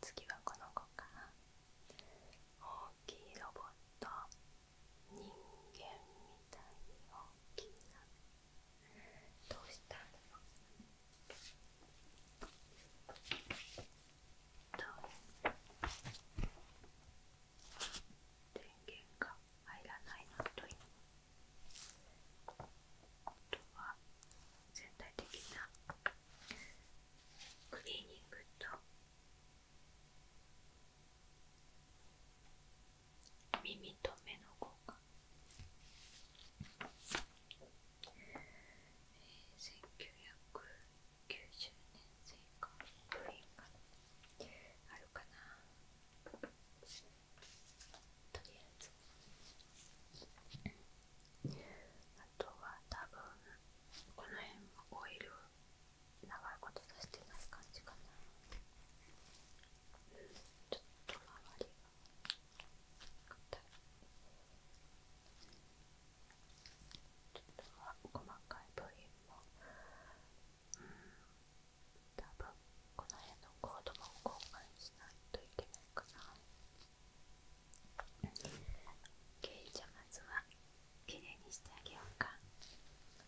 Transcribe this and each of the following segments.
次はこの子かな大きいロボット人間みたいに大きいなどうした電源が入らないのと今あとは全体的なクリーニングと耳と目の交換えー、1990年製か部品があるかな。とりあえずあとは多分この辺もオイル長いこと出してない感じかなちょっと周りがちょっとは細かい部品も多分この辺のコードも交換しないといけないかな OK じゃあまずはきれいにしてあげようかと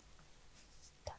これで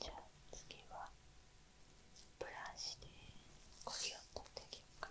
じゃあ次はブラシでこりを取っていきようか。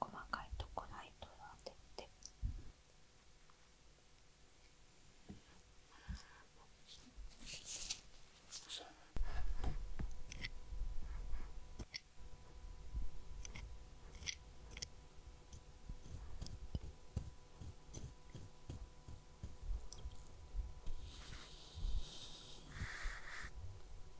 細かいとこないとをってて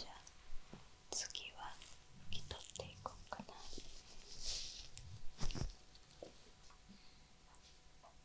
じゃあ次は拭き取っていこうかな。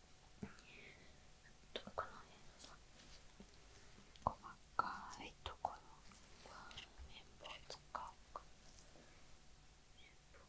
この辺の細かいところは綿棒使うか綿棒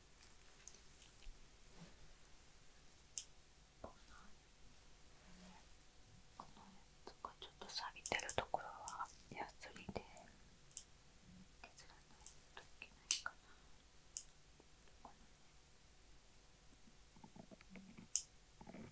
この辺とか、ちょっと錆びてるところはヤスリで削らないといけないかなこのね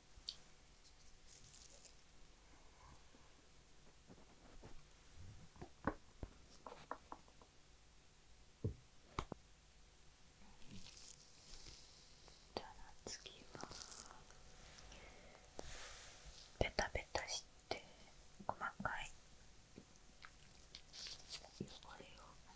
じゃあ次はベタベタして細かい汚れを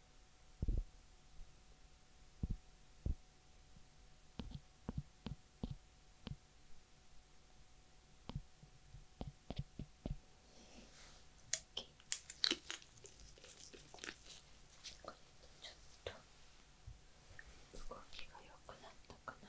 ちょっと動きが良くなったかな。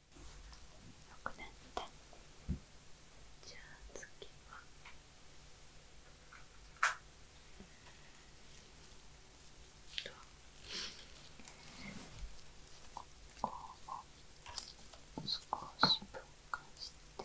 じゃあ次はここを少し分解して。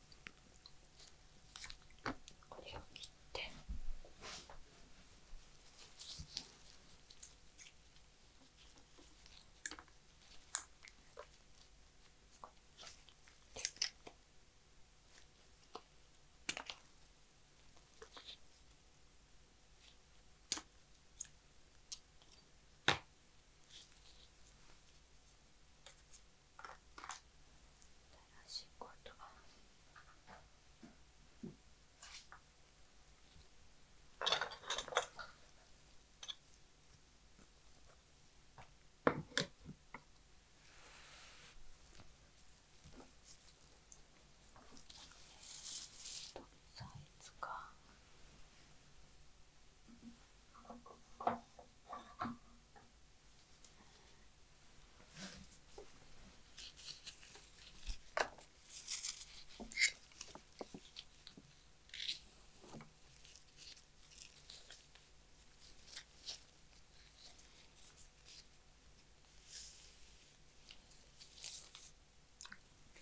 これを切って新しいコートがサイズか。OK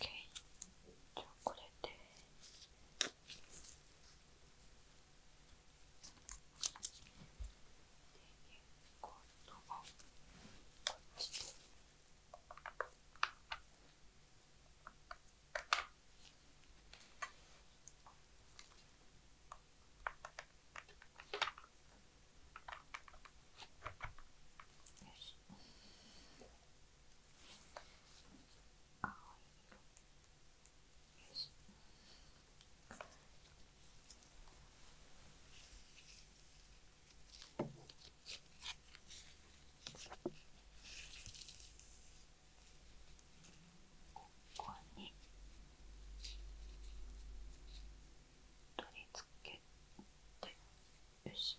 じゃあこれで今度はこっちで。よし。青いよし。ここに取り付けてよし。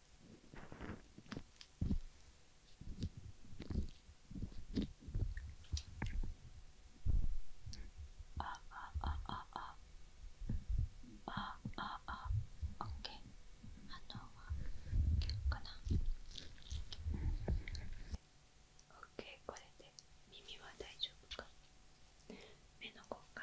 ああああああああオッケーあとはかなオッケーこれで耳は大丈夫か目の方が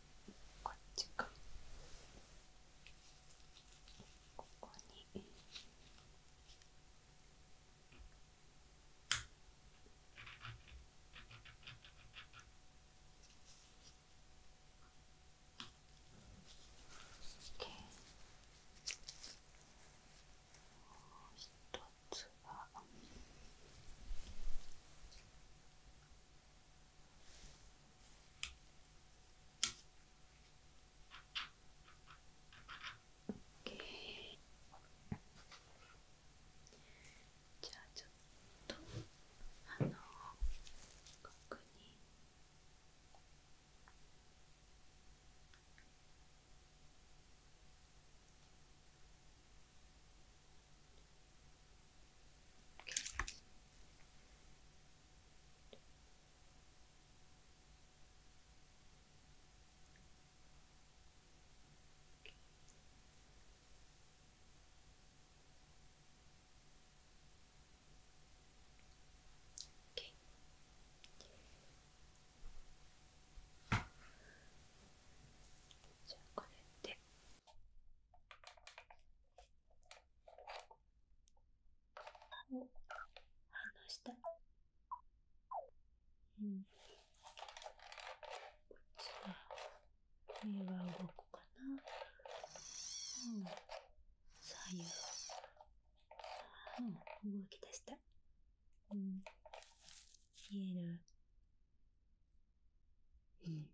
こっちかここに一つは。じゃあちょっとあのここに Okay. じゃあこれで。歯を離したうん。こっちは目は動くかな。うん。左右。うん、動き出した。うん。見える。うん。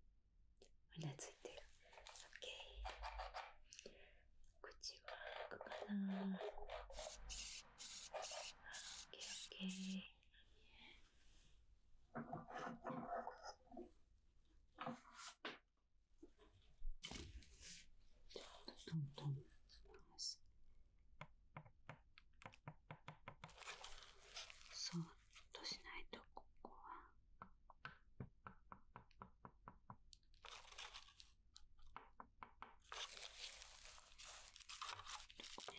うなずいてる OK 口は開くかな OKOK トントンしますそっとしないとここはここ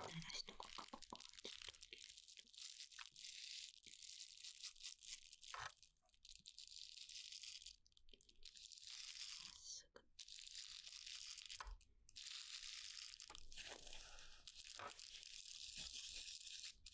で鳴らしとこここはちょっと。まっすぐ。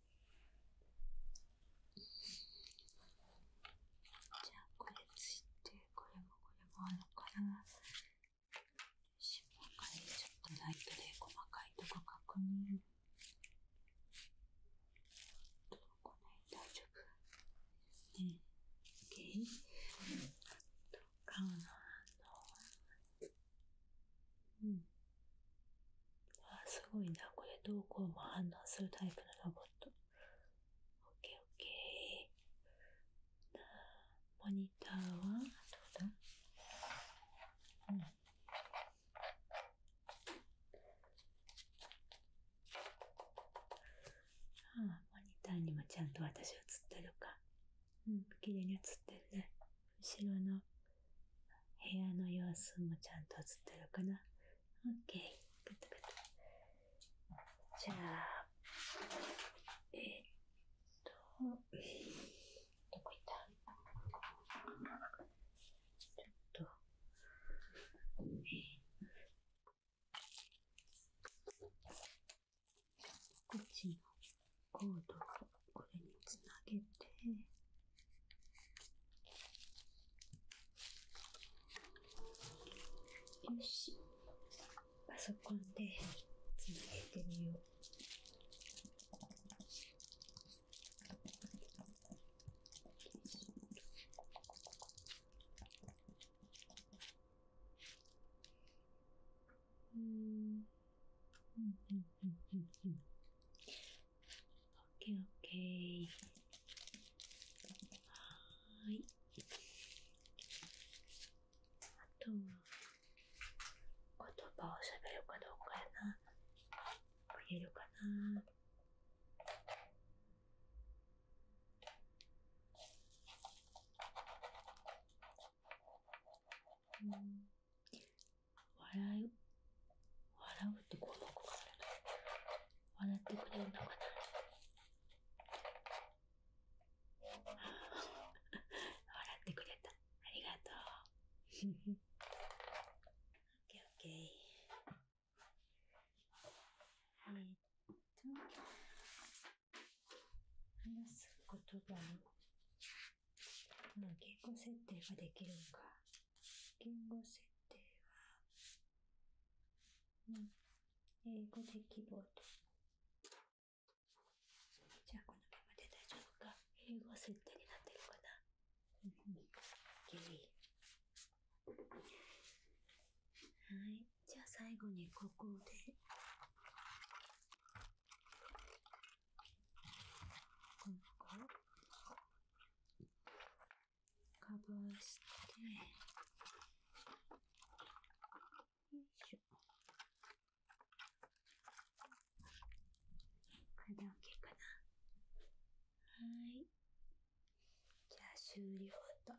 じゃあこれついてこれもこれもあるからしもかにちょっとライトで細かいとこ確認どこね大丈夫ね OK とかうん。あ、すごいな。これどうこうも反応するタイプのロボット。オッケーオッケー。モニターはどうだん。ああ、モニターにもちゃんと私映ってるか。うん、綺麗に映ってるね。後ろの部屋の様子もちゃんと映ってるかな ?OK。グッドグッド。じゃあ、えっと、どこ行ったちょっと、こっちの。コードをこれにつなげて、よし、パソコンでつなげてみよう。うん、うん、うん。うんうんうん。ケー、OK. はーい。あとは、言葉を喋るかどうかやな。言えるかな。笑う笑うってこのかかも笑ってくれるのかな笑ってくれたありがとう OKOK えっと話す言葉のまあ、言語設定ができるんか。言語設定は、うん、英語で希望と。じゃあ、このままで大丈夫か。英語設定になってるかな。うん、はい。じゃあ、最後にここで。今回カバしてよいしょこれで OK かなはいじゃあ修理終了ト。